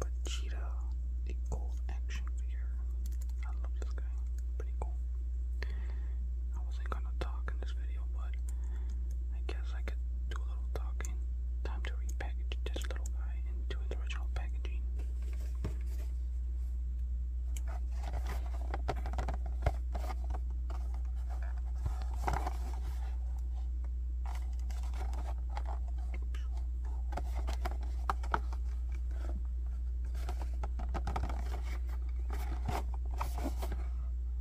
But Cheetah, a gold action figure. I love this guy. Pretty cool. I wasn't gonna talk in this video, but I guess I could do a little talking. Time to repackage this little guy into its original packaging.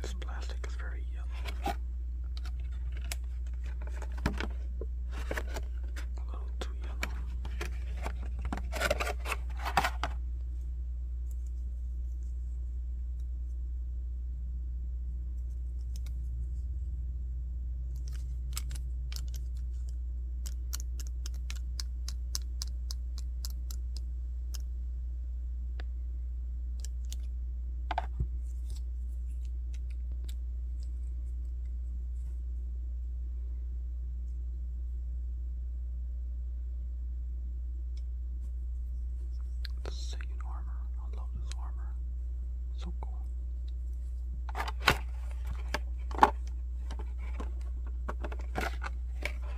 This plastic is very yellow. A little too yellow. Satan armor. I love this armor. So cool.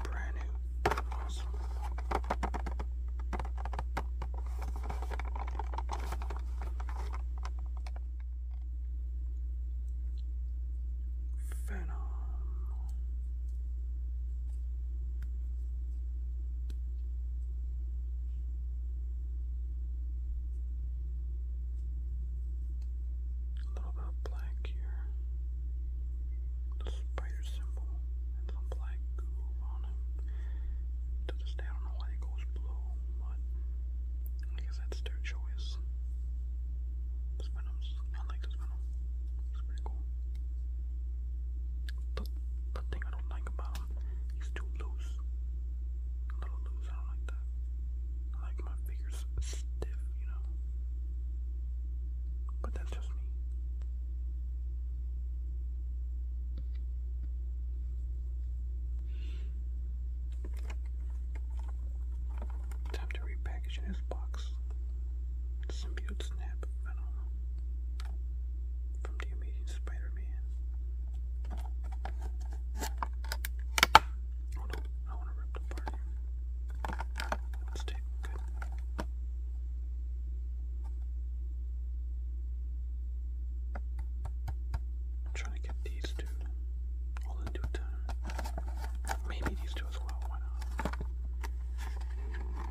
Brand new. Awesome. Phenomenal. A little bit of black here. The spider symbol and some black goo on To this day, I don't know why he goes blue, but I guess that's their choice. This I like this He's pretty cool. The, thing I don't like about him, he's too loose. A little loose, I don't like that. I like my fingers stiff, you know. But that's just me. Time to repackage his box. Symbiote snap. I don't know from The Amazing Spider-Man. Oh no, I want to rip the part Let's take good. I'm trying to get these two all in due time. Maybe these two as well, why not? I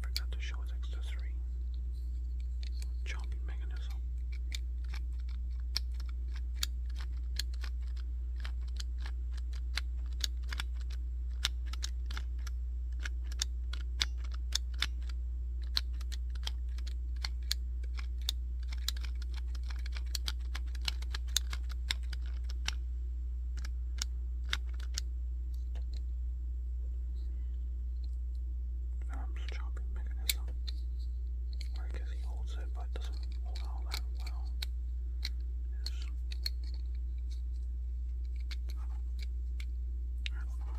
forgot to show its accessory. Jumping mechanism. Arms chopping mechanism. Or I guess he holds it, but doesn't hold all that well. Yes. I don't know.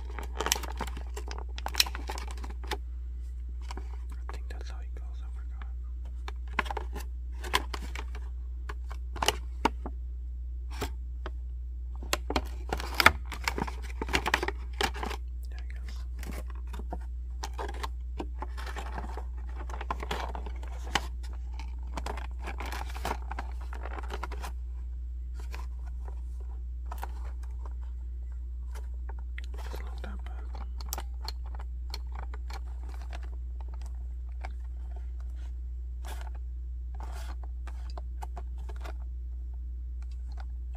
I think that's how he goes, I forgot. Yeah, I guess. Just like that back.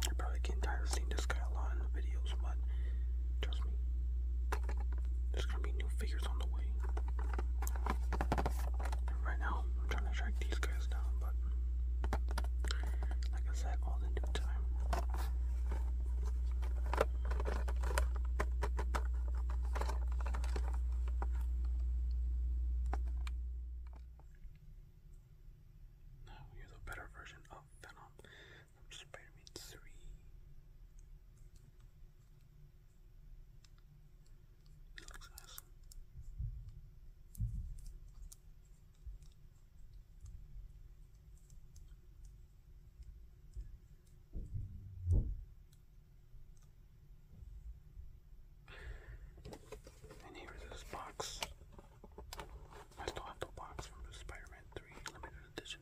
You probably getting tired of seeing this guy a lot in the videos, but trust me, there's gonna be new figures on the way right now, I'm trying to track these guys down, but like I said, all in due time. Now here's a better version of Venom from Spider-Man 3. That looks nice. And here's this box. I still have the box from Spider-Man 3 limited edition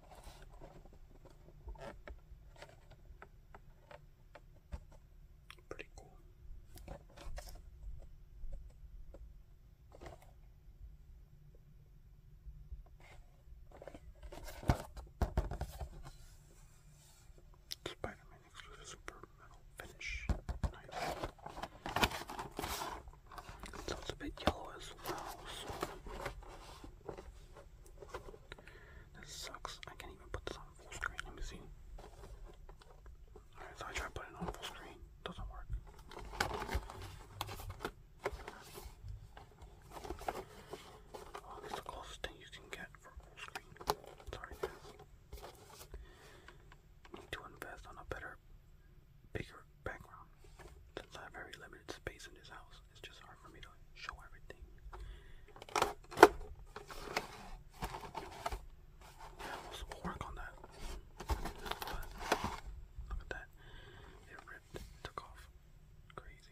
Pretty cool. Spider Man exclusive super metal finish. Nice. it's a bit yellow as well, this sucks. I can't even put this on full screen. Let me see. Alright, so I try putting it on full screen. Doesn't work. Oh, that's the closest thing you can get for full screen. Sorry Need to invest on a better, bigger background. Since I have very limited space in this house. It's just hard for me to show everything. Yeah, we'll, work on that. look at that. It ripped, took off. Crazy.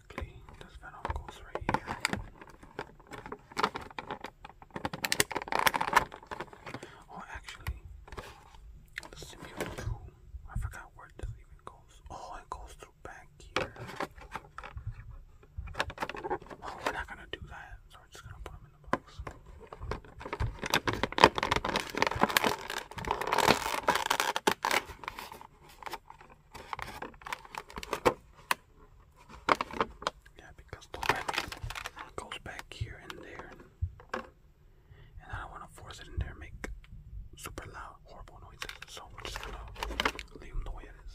correctly, this venom goes right here. Oh, I forgot where this even goes. Oh, it goes through back here. Oh, we're not gonna do that, so we're just gonna put them in the box. Yeah, because the web goes back here and there, and I don't want to force it in there make super loud, horrible noises. So we're just gonna leave them the way it is.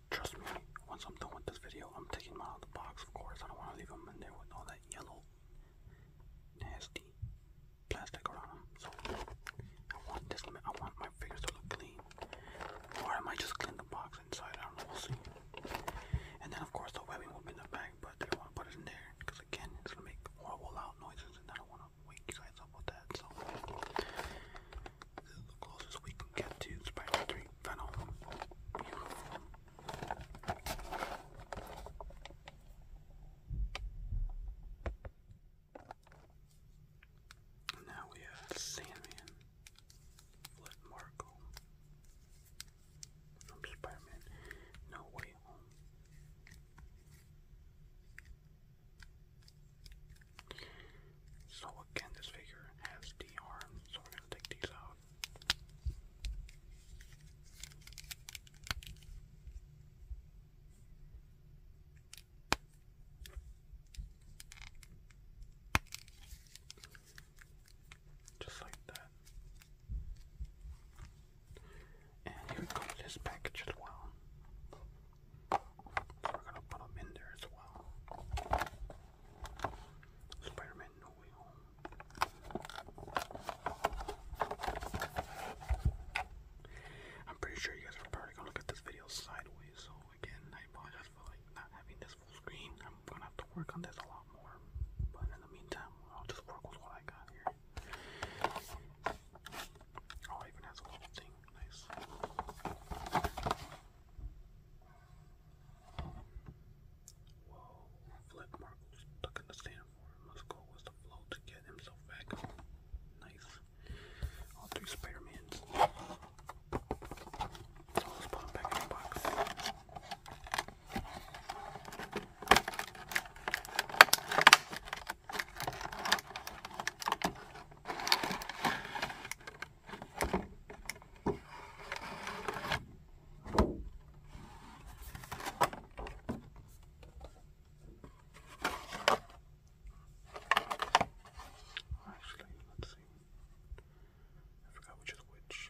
Trust me, once I'm done with this video, I'm taking them out of the box, of course. I don't want to leave them in there with all that yellow, nasty plastic around them. So, I want this limit. I want my fingers to look clean. Or I might just clean the box inside. I don't know. We'll see. And then, of course, the webbing will be in the bag, but I don't want to put it in there because, again, it's going to make horrible loud noises, and I don't want to wake you with that. So, the closest we can get to Spider-3 Venom. now we have Sandman, Flip Marco, from Spider-Man, No Way Home. So again, this figure has the arms, so we're gonna take these out. Just like that. And here comes this package as well. So we're gonna put them in there as well. Spider-Man No Way Home. I'm pretty sure you guys are probably gonna look this video sideways, so again, I apologize for like not having this full screen. I'm gonna have to work on this a lot more, but in the meantime, I'll just work with what I got here. Oh, even has a little thing, nice. Whoa, Flip Markle's stuck in the sand Must go with the flow to get himself back. Nice. All three let's put him back in the box. Actually, let's see. I forgot which is which.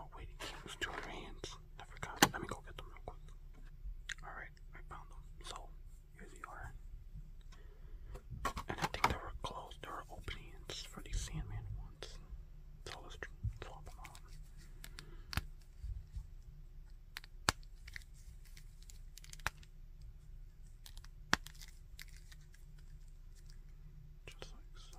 Oh wait, it came with two hands. I forgot. Let me go get them real quick. Alright, I found them. So, here they are. And I think there were closed door openings for the Sandman ones. That's all, that's, that's them on. Just like so.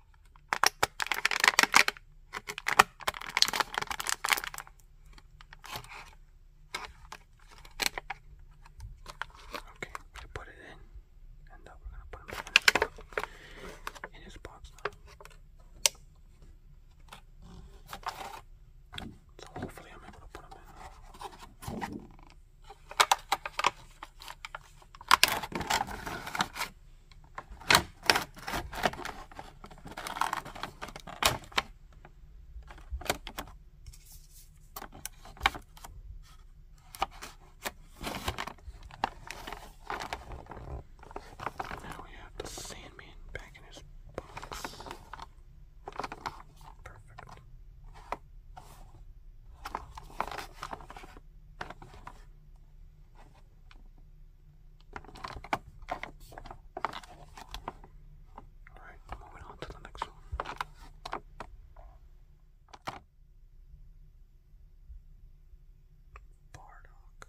Okay, I put it in, and uh, we're gonna put him back in his box now. So hopefully I'm able to put him in. Now we have the Sandman back in his box. Perfect. Alright, moving on to the next one. Bardock.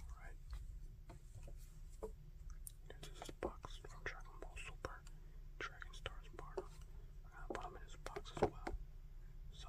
Alright. This is box from Dragon Ball Super. Dragon Stars part I'm gonna put them in this box as well. So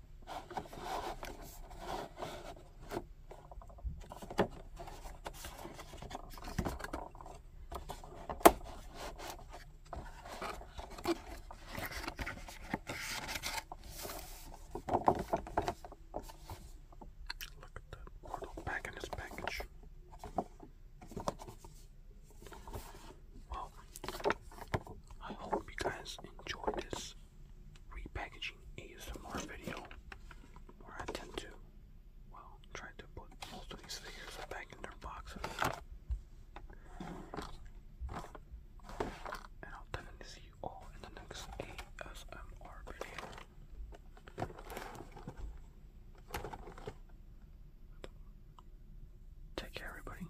Look at that portal back Well, I hope you guys enjoyed this repackaging ASMR video where I tend to, well, try to put most of these figures back in their boxes. And I'll definitely see you all in the next ASMR video. Take care, everybody.